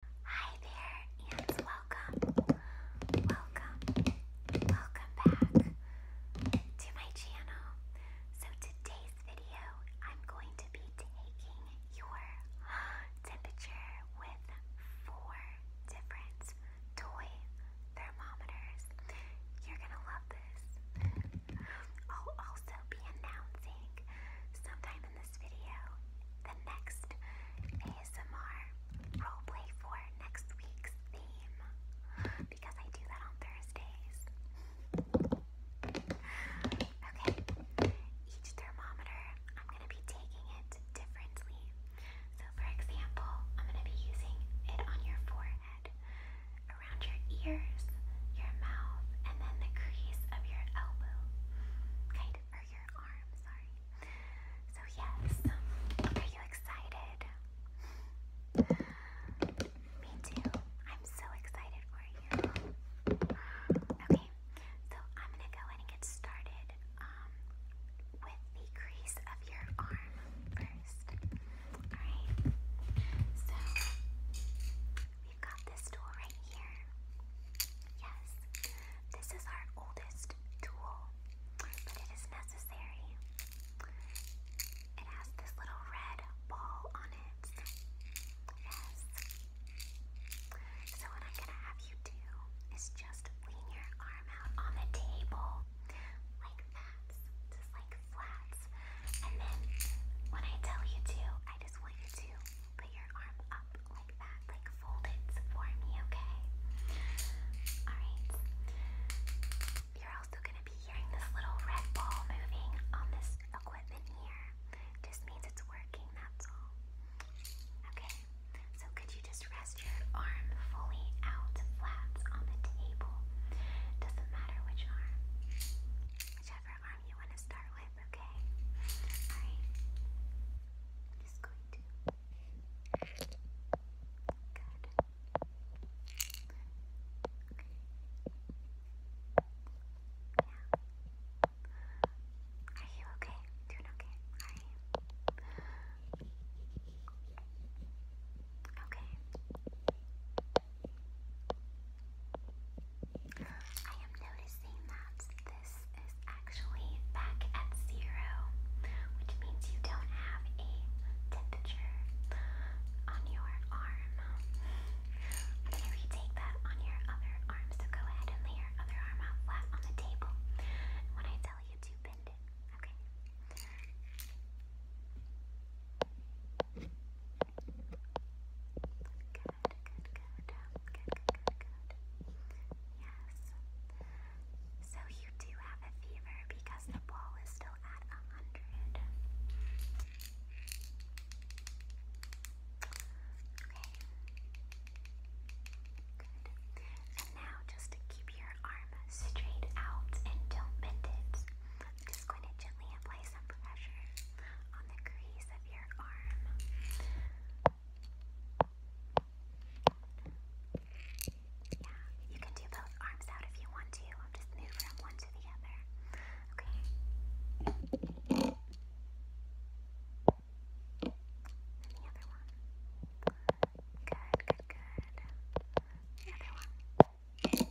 Hi there, and welcome, welcome, welcome back to my channel. So today's video, I'm going to be taking your temperature with four different toy thermometers. You're gonna love this. I'll also be announcing sometime in this video the next ASMR roleplay for next week's theme because I do that on Thursdays. Okay, each thermometer, I'm going to be taking it differently. So, for example, I'm going to be using it on your forehead, around your ears, your mouth, and then the crease of your elbow. Kind so, are you excited? Me too. I'm so excited for you. Okay, so I'm gonna go ahead and get started um, with the crease of your arm first. Alright, so we've got this tool right here. Yes. This is our oldest tool, but it is necessary. It has this little red ball on it. Yes. So, what I'm going to have you do is just lean your arm out on the table like that, just like flats. And then when I tell you to, I just want you to put your arm up like that, like fold it for me, okay? Alright. You're also gonna be hearing this little red ball moving on this equipment here. Just means it's working, that's all. Okay, so could you just rest your arm fully out flat on the table? Doesn't matter which arm. Whichever arm you want to start with, okay? Alright. I'm just going to. Good. Yeah. Are you okay? Doing okay? Alright. Okay. I am noticing that this is actually back at zero, which means you don't have a temperature on your arm. I'm going that on your other arm, so go ahead and lay your other arm out flat on the table. when I tell you to bend it, okay? Yes. So you do have a fever because the ball is still at a hundred. Okay. Good. And now just keep your arm straight out and don't bend it. I'm just going to gently apply some pressure on the crease of your arm. Yeah, you can do both arms out if you want to. I'll just move one to the other. Okay. the other one. Good, good, good. The other one. Alright,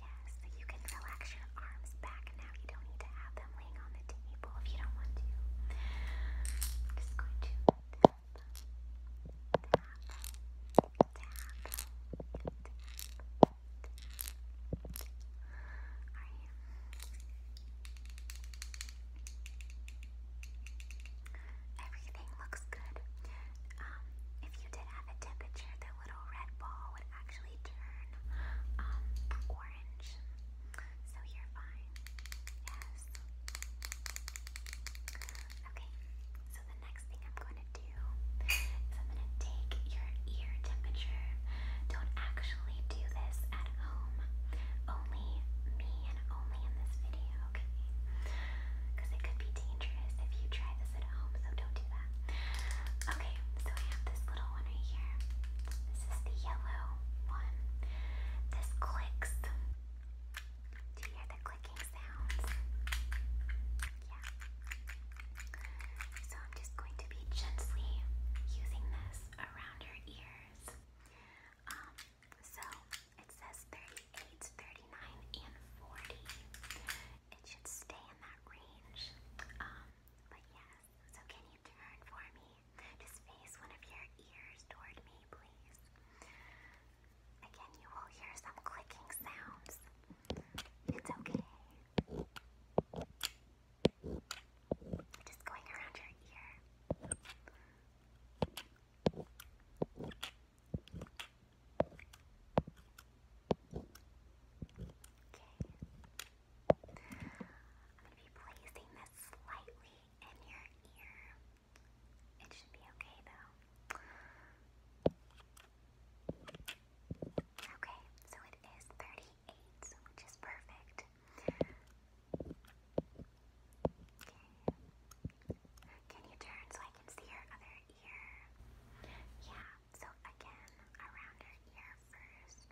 Yes, so you can relax your arms back now. You don't need to have them laying on the table if you don't want to. just going to tap, tap, tap, tap. tap. Alright. Everything looks good if you did have a temperature, the little red ball would actually turn um, orange. So you're fine. Yes. Okay, so the next thing I'm going to do is I'm going to take your ear temperature. Don't actually do this at home. Only me and only in this video okay? Because it could be dangerous if you try this at home, so don't do that. Okay, so I have this little one right here. This is the yellow one. This clicks. Do you hear the clicking sounds? Yeah. So I'm just going to be gently using this around your ears. Um, so says 38, 39, and 40. It should stay in that range. Um, but yes, so can you turn for me? Just face one of your ears toward me, please. Again, you will hear some clicking sounds. It's okay. Just going around your ear going to be placing this slightly in your ear. It should be okay though. Okay, so it is 38, which is perfect. Can you turn so I can see her other ear? Yeah, so again, around her ear first.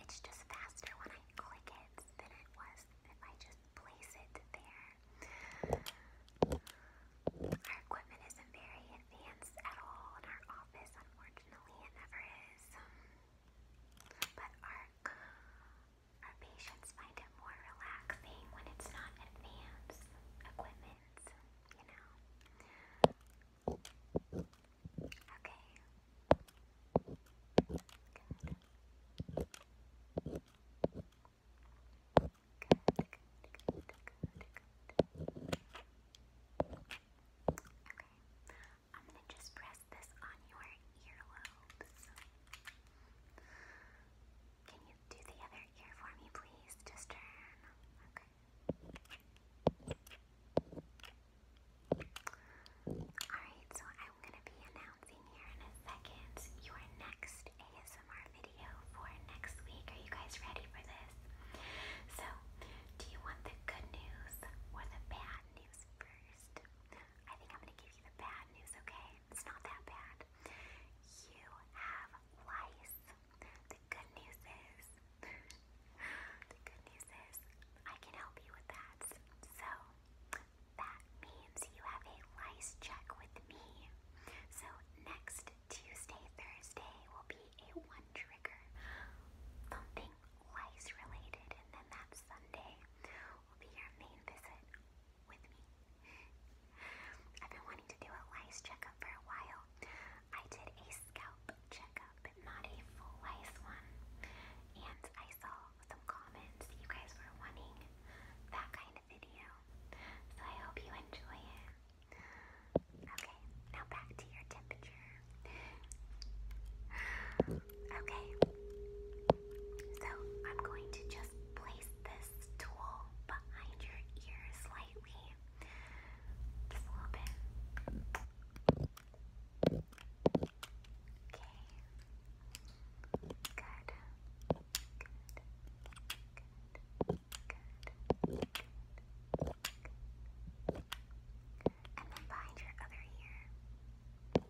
It's just faster when I click it than it was if I just place it there. Our equipment isn't very advanced at all in our office, unfortunately, it never is. But our, our patients find it more relaxing when it's not advanced equipment, you know. Okay. Good. Good, good, good, good, good. Okay. I'm gonna just press this on your earlobes. Can you do the other ear for me, please? Just turn. Okay. Alright, so I'm gonna be announcing here in a second your next ASMR video for next week. Are you guys ready for this? So, do you want the good news or the bad news first? I think I'm going to give you the bad news, okay? It's not that bad. You have lice. The good news is, the good news is, I can help you with that. So, that means you have a lice check with me. So, next Tuesday, Thursday will be a one trigger thumping lice related, and then that Sunday will be your main visit with me. I've been wanting to do a lice checkup for a while. I did a scalp checkup, but not a full lice one. And I saw some comments you guys were wanting that kind of video. So I hope you enjoy it. Okay, now back to your temperature okay, so I'm going to just place this tool behind your ear slightly. Just a little bit. Okay. Good. Good. Good. Good. Good. And then behind your other ear. And then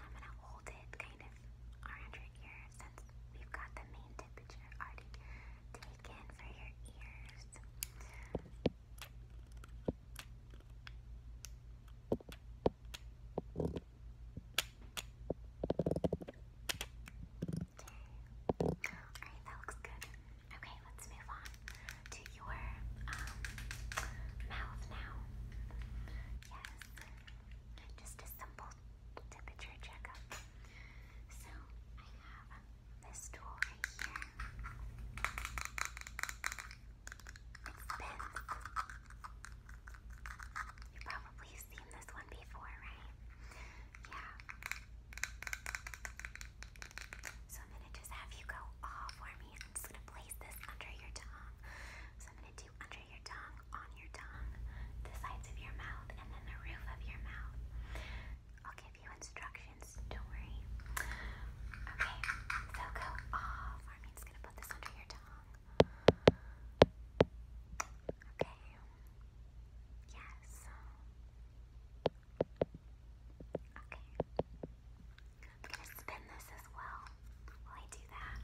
I'm gonna hold it kind of around your ear we've got the main temperature already taken for your ears. Alright, that looks good. Okay, let's move on to your um, mouth now. Yes, just a simple temperature checkup. So, I have this tool right here. You probably seen this one before, right? Yeah. So I'm gonna just have you go all for me. I'm just gonna place this under your tongue. So I'm gonna do under your tongue, on your tongue, the sides of your mouth, and then the roof of your mouth. I'll give you instructions, don't worry. Okay, so go all for me. just gonna put this under your tongue. Okay. Yes. Okay. I'm gonna spin this as well while I do that.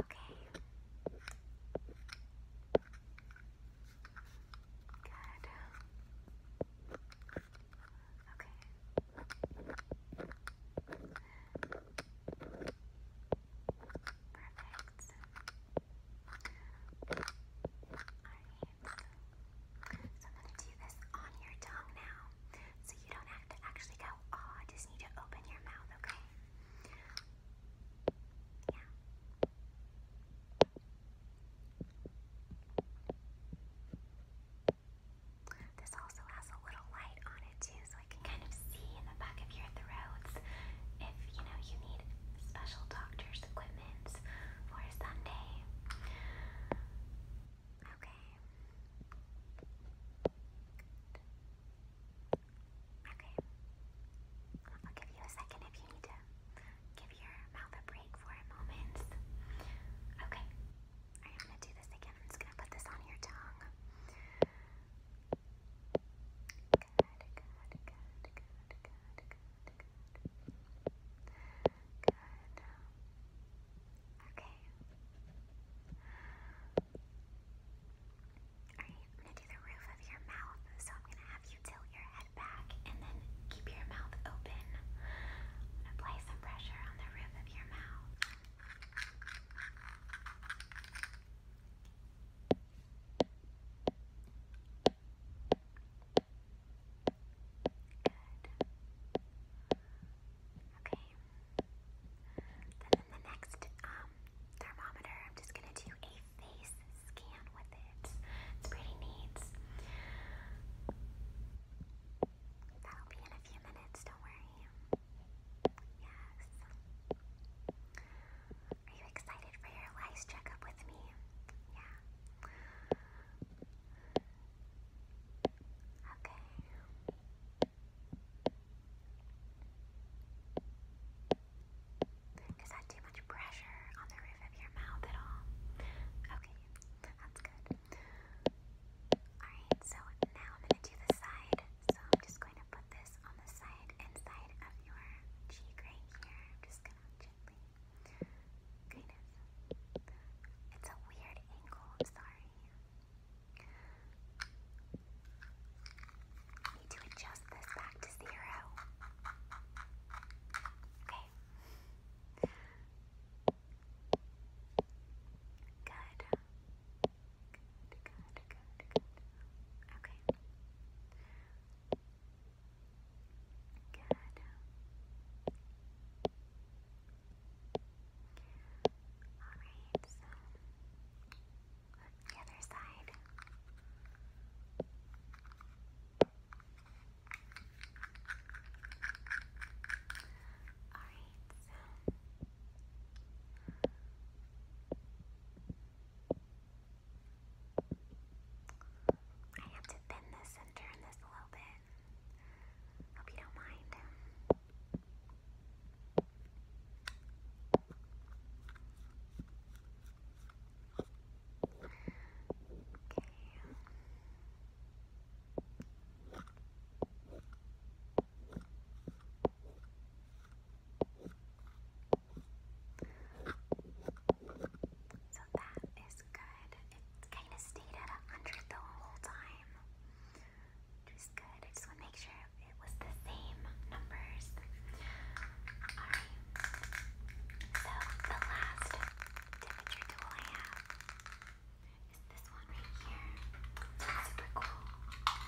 Okay. Good so I'm going to do this on your tongue now, so you don't have to actually go, oh, I just need to open your mouth, okay? Yeah. This also has a little light on it too, so I can kind of see in the back of your throats if you know you need special doctor's equipment for Sunday. Okay. Okay. I'll give you a second if you need to give your mouth a break for a moment. Okay. I'm gonna do this again. I'm just gonna put this on your tongue. Good, good, good, good, good, good, good. Okay. I'm gonna do the roof of your mouth. So I'm gonna have you tilt your head back and then keep your mouth open. I'm gonna apply some pressure on the roof of your mouth. Okay. Then the next um, thermometer, I'm just going to do a face scan with it. It's pretty neat. That'll be in a few minutes, don't worry. Yes. Are you excited for your lice checkup with me? Yeah. Okay. Is that too much pressure on the roof of your mouth at all? Okay, that's good. Alright, so now I'm going to do the side. So I'm just going to put this on the side, inside of your cheek right here. I'm just going to gently, kind it's a weird angle, I'm sorry. need to adjust this back to zero. Okay. Good. Good, good, good, good. Okay. Good. Alright, so the other side. Alright, I have to bend this and turn this a little bit. Hope you don't mind. Okay. So that is good. It kind of stayed at 100 the whole time, which is good. I just want to make sure it was the same numbers. Alright. So the last temperature tool I have is this one right here. super cool. Just kind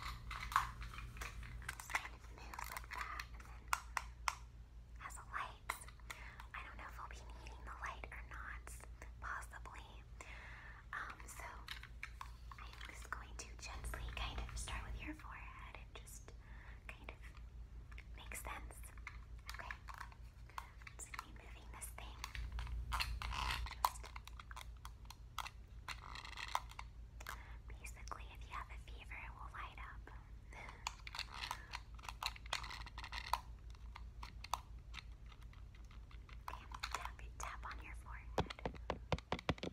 of moves like that and then has a light. I don't know if I'll be needing the light or not, possibly. Um, so I'm just going to gently kind of start with your forehead and just kind of make sense. Okay. It's me moving this thing. Basically, if you have a fever, it will light up. okay, tap, tap on your forehead. Okay,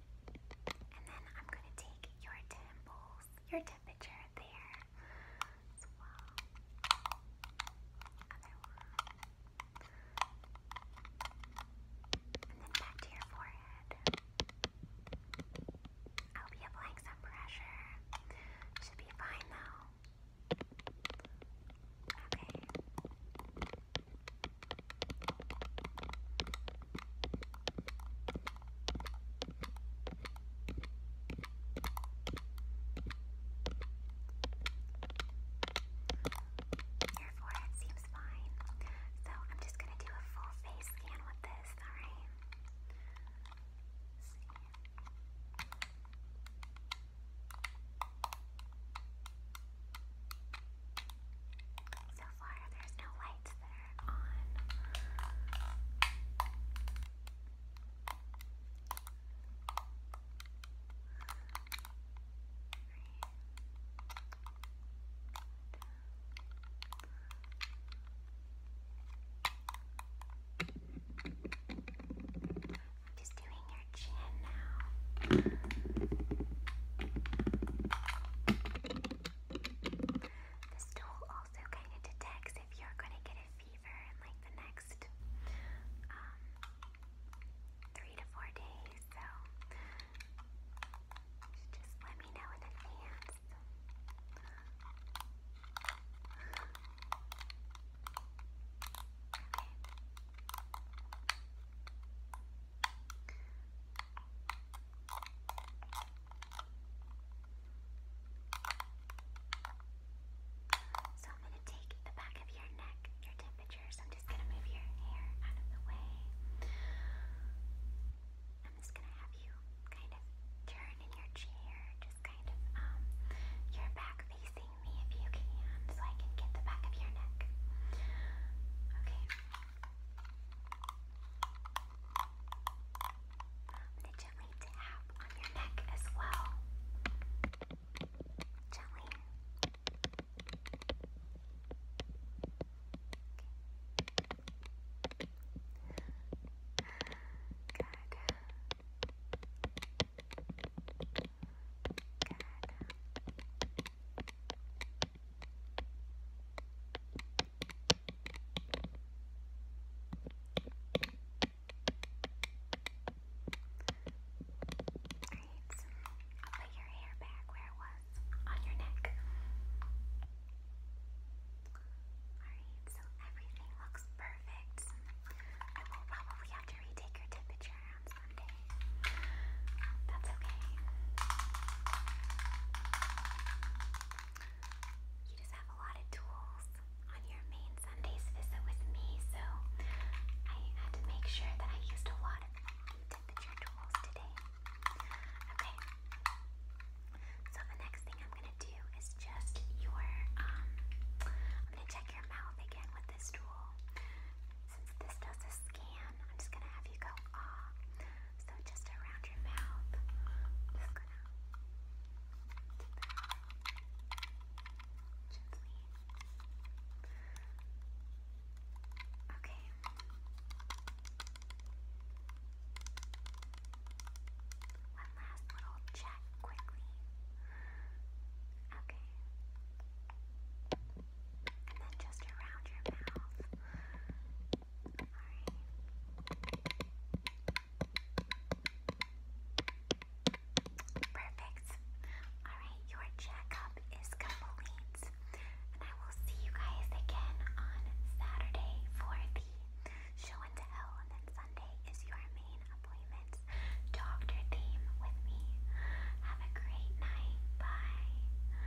And then I'm going to take your temples, your temperature there as well. Other one. And then back to your forehead. I'll be applying some pressure. Should be fine though. Okay. Your forehead seems fine, so I'm just going to do a full face scan with this, alright? So far, there's no lights that are on. just doing your chin now. This tool also kind of detects if you're going to get a fever in like the next um, three to four days. So just let me know in advance. Okay. So I'm going to take the back of your neck, your temperature. So I'm just going to move your hair out of the way. I'm just going to have you kind of turn in your chair, just kind of um your back facing me if you can, so I can get the back of your neck. Okay to gently tap on your neck as well. Gently. Okay. Good. Good. Great. I'll put your hair back where it was on your neck. Alright, so everything looks perfect. I will probably have to retake your temperature on Sunday. That's okay. You just have a lot of tools on your main Sunday's visit with me, so I had to make sure that I used a lot of temperature tools today. Okay. So the next thing I'm gonna do is just your um, I'm gonna check your mouth again with this tool. Since this does a scan, I'm just gonna have you go ah so just around your mouth, just gonna gently. Okay. One last little check quickly. Okay. And then just around your mouth. Perfect. Alright, your checkup is complete. And I will see you guys again on Saturday for the show and tell. And then Sunday is your main appointment. Doctor theme with me. Have a great night. Bye.